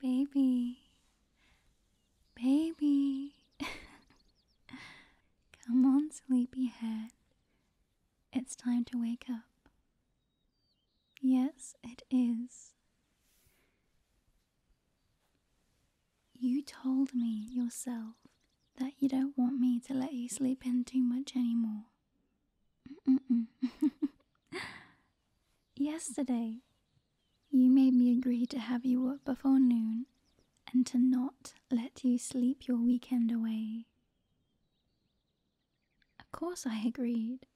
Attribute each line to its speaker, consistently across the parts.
Speaker 1: Baby, baby, come on, sleepyhead. It's time to wake up. Yes, it is. You told me yourself that you don't want me to let you sleep in too much anymore. Yesterday, you made me agree to have you up before noon and to not let you sleep your weekend away. Of course, I agreed,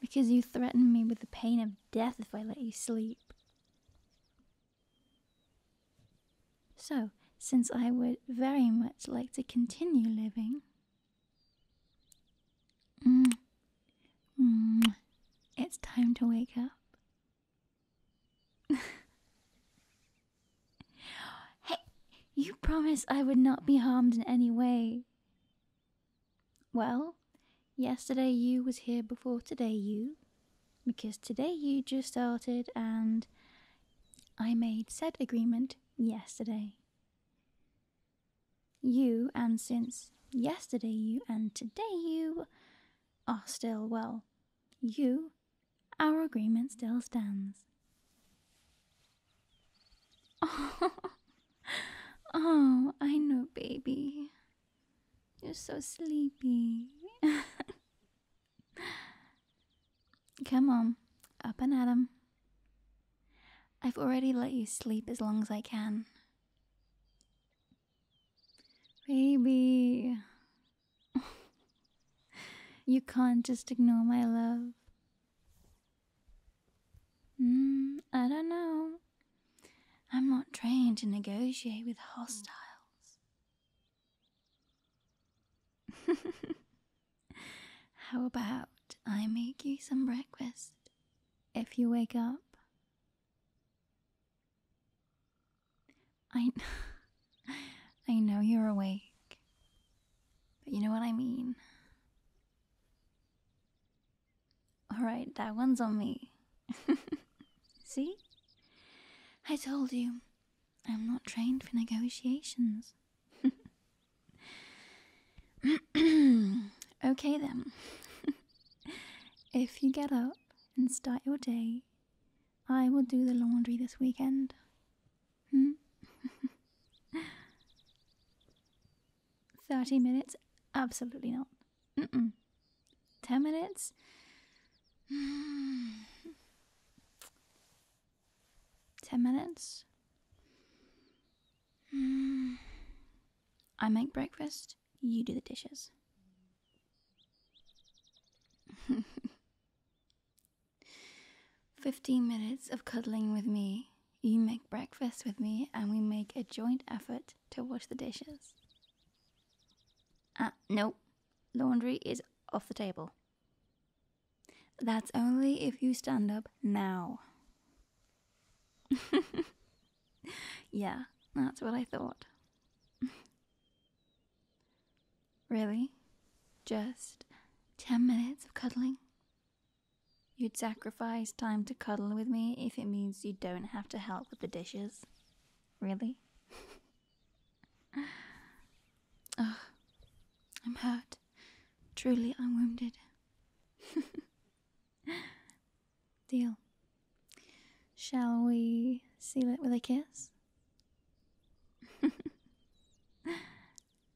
Speaker 1: because you threatened me with the pain of death if I let you sleep. So, since I would very much like to continue living, Mm. mm. It's time to wake up. hey, you promised I would not be harmed in any way. Well, yesterday you was here before today you, because today you just started and I made said agreement yesterday. You, and since yesterday you, and today you, are still, well, you, our agreement still stands. Oh, oh I know, baby. You're so sleepy. Come on, up and at 'em. I've already let you sleep as long as I can. Baby. you can't just ignore my love. Mm, I don't know. I'm not trained to negotiate with hostiles. How about I make you some breakfast? if you wake up. I I know you're awake. But you know what I mean. All right, that one's on me. See? I told you. I'm not trained for negotiations. okay then. if you get up and start your day, I will do the laundry this weekend. Hmm? 30 minutes? Absolutely not. 10 minutes? Ten minutes? I make breakfast, you do the dishes. Fifteen minutes of cuddling with me. You make breakfast with me, and we make a joint effort to wash the dishes. Ah, nope. Laundry is off the table. That's only if you stand up now. yeah, that's what I thought. really? Just ten minutes of cuddling? You'd sacrifice time to cuddle with me if it means you don't have to help with the dishes? Really? oh, I'm hurt. Truly, I'm wounded. Deal. Shall we seal it with a kiss? mm.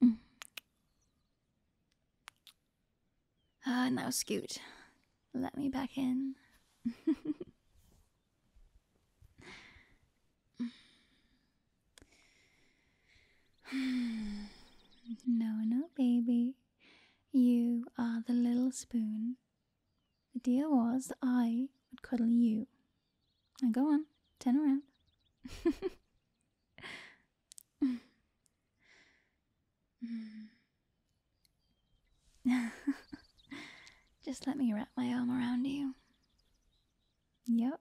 Speaker 1: Ah, now Scoot, let me back in. no, no, baby. You are the little spoon. The deal was I would cuddle you. Now go on, turn around. Just let me wrap my arm around you. Yep.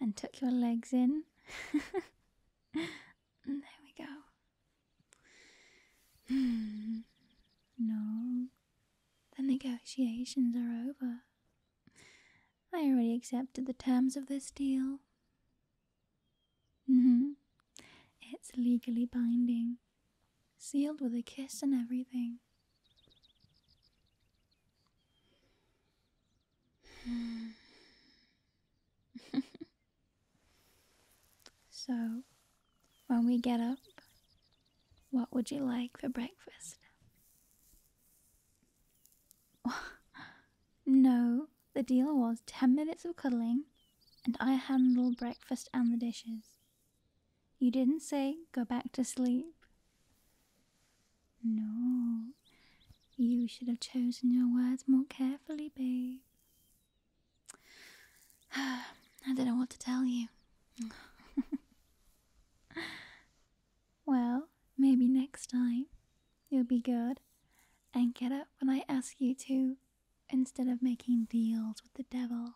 Speaker 1: And tuck your legs in. there we go. Hmm. no, the negotiations are over. I already accepted the terms of this deal. Mm-hmm. it's legally binding, sealed with a kiss and everything. Hmm. So, when we get up, what would you like for breakfast? no, the deal was 10 minutes of cuddling, and I handle breakfast and the dishes. You didn't say go back to sleep. No, you should have chosen your words more carefully, babe. I didn't want to tell you. well, maybe next time you'll be good and get up when I ask you to instead of making deals with the devil.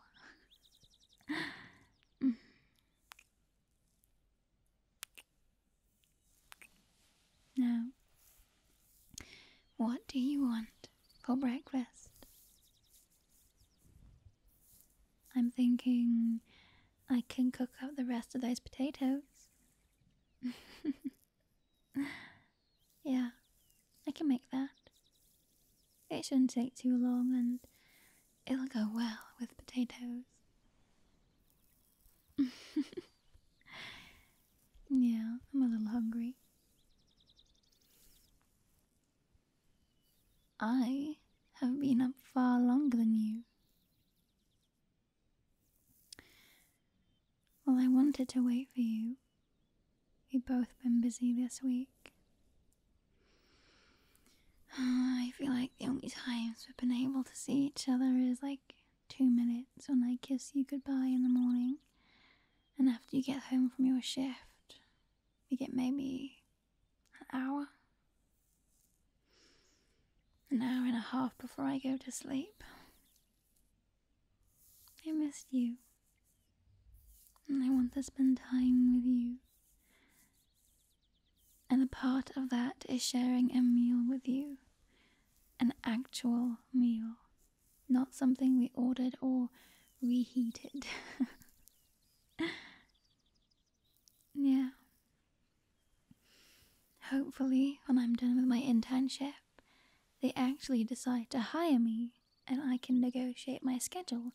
Speaker 1: Now, what do you want for breakfast? I'm thinking I can cook up the rest of those potatoes. yeah, I can make that. It shouldn't take too long and it'll go well with potatoes. yeah, I'm a little hungry. I have been up far longer than you. Well, I wanted to wait for you. We've both been busy this week. I feel like the only times we've been able to see each other is like two minutes when I kiss you goodbye in the morning. And after you get home from your shift, we get maybe an hour, an hour and a half before I go to sleep. I miss you. And I want to spend time with you. And a part of that is sharing a meal with you, an actual meal. Not something we ordered or reheated. yeah. Hopefully, when I'm done with my internship, they actually decide to hire me and I can negotiate my schedule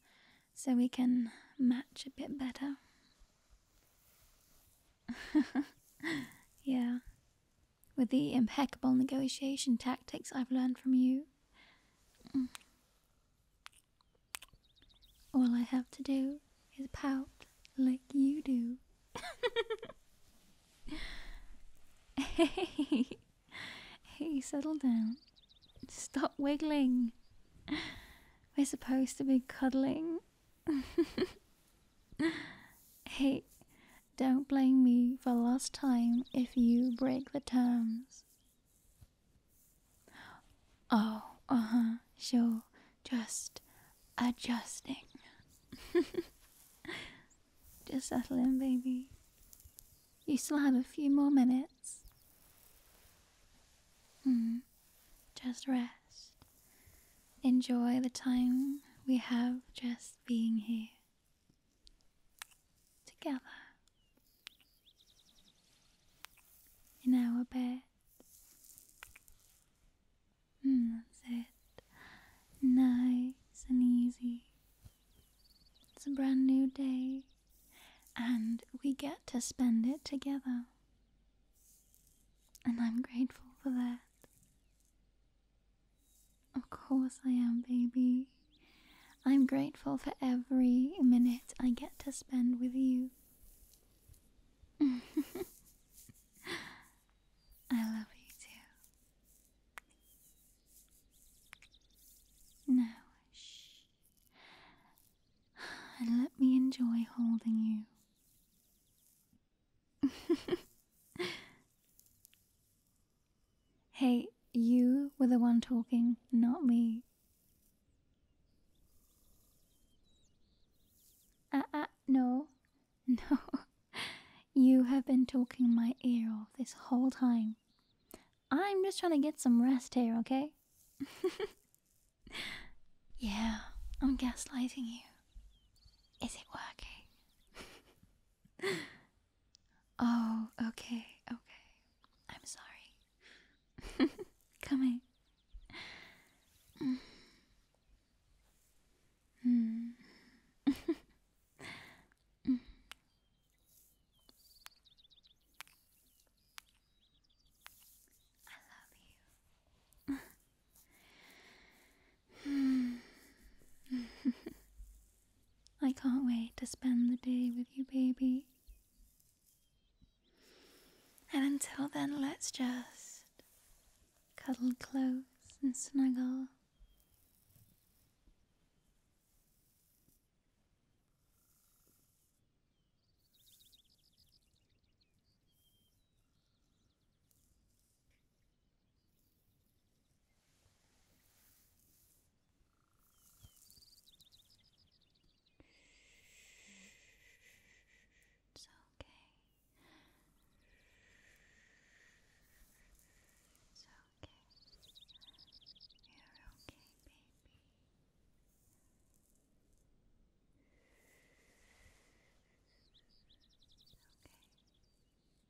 Speaker 1: so we can match a bit better. yeah, with the impeccable negotiation tactics I've learned from you. Mm. All I have to do is pout like you do. hey, hey, settle down. Stop wiggling. We're supposed to be cuddling. hey, don't blame me for last time if you break the terms. Oh, uh huh, sure. Just adjusting. Just settle in, baby. You still have a few more minutes. Hmm. Just rest. Enjoy the time we have just being here together in our bed. Mm, that's it. Nice and easy. It's a brand new day, and we get to spend it together. And I'm grateful for that. Of course I am, baby. I'm grateful for every minute I get to spend with you. I love you too. Now, shh. And let me enjoy holding you. hey, you were the one talking, not me. Ah, uh, uh, no. No. You have been talking my ear off this whole time. I'm just trying to get some rest here, okay? yeah, I'm gaslighting you. Is it working? oh, okay, okay. I'm sorry. Coming. I love you. I can't wait to spend the day with you, baby. And until then, let's just cuddle close and snuggle. It's okay. It's okay. You're okay, baby. Okay.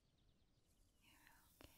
Speaker 1: You're okay. Talk.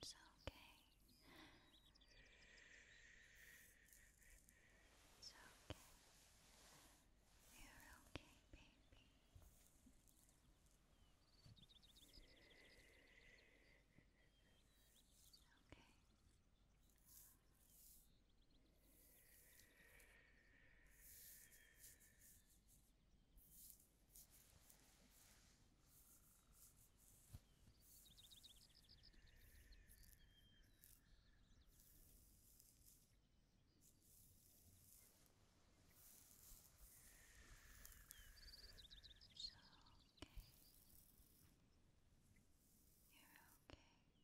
Speaker 1: It's okay. It's okay. You're okay, baby. Okay. So okay. You're okay.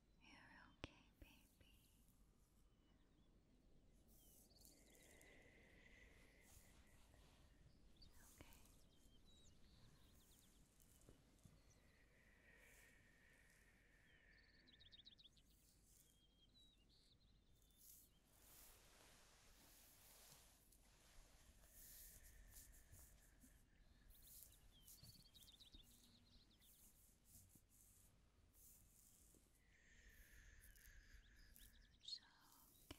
Speaker 1: You're okay, baby. Okay. It's okay. You're okay. It's okay.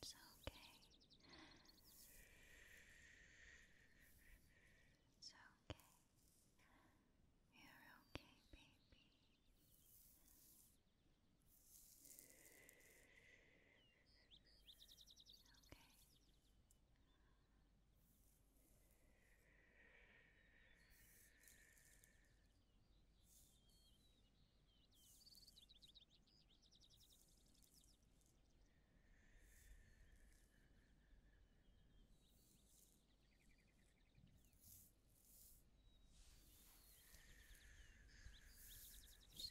Speaker 1: It's okay. It's okay. You're okay, baby. Okay. It's okay. You're okay.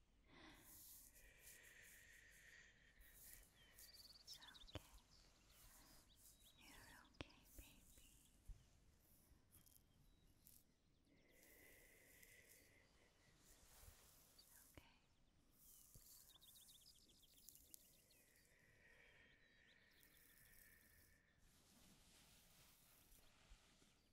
Speaker 1: It's okay. You're okay, baby. It's okay. It's okay.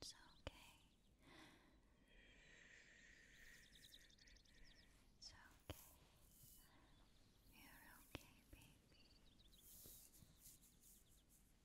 Speaker 1: It's okay. It's okay. You're okay, baby.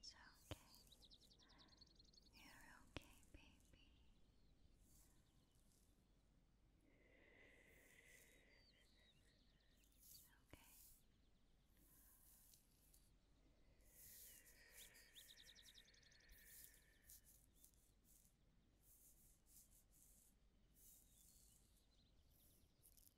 Speaker 1: It's okay. You're okay, baby. Okay.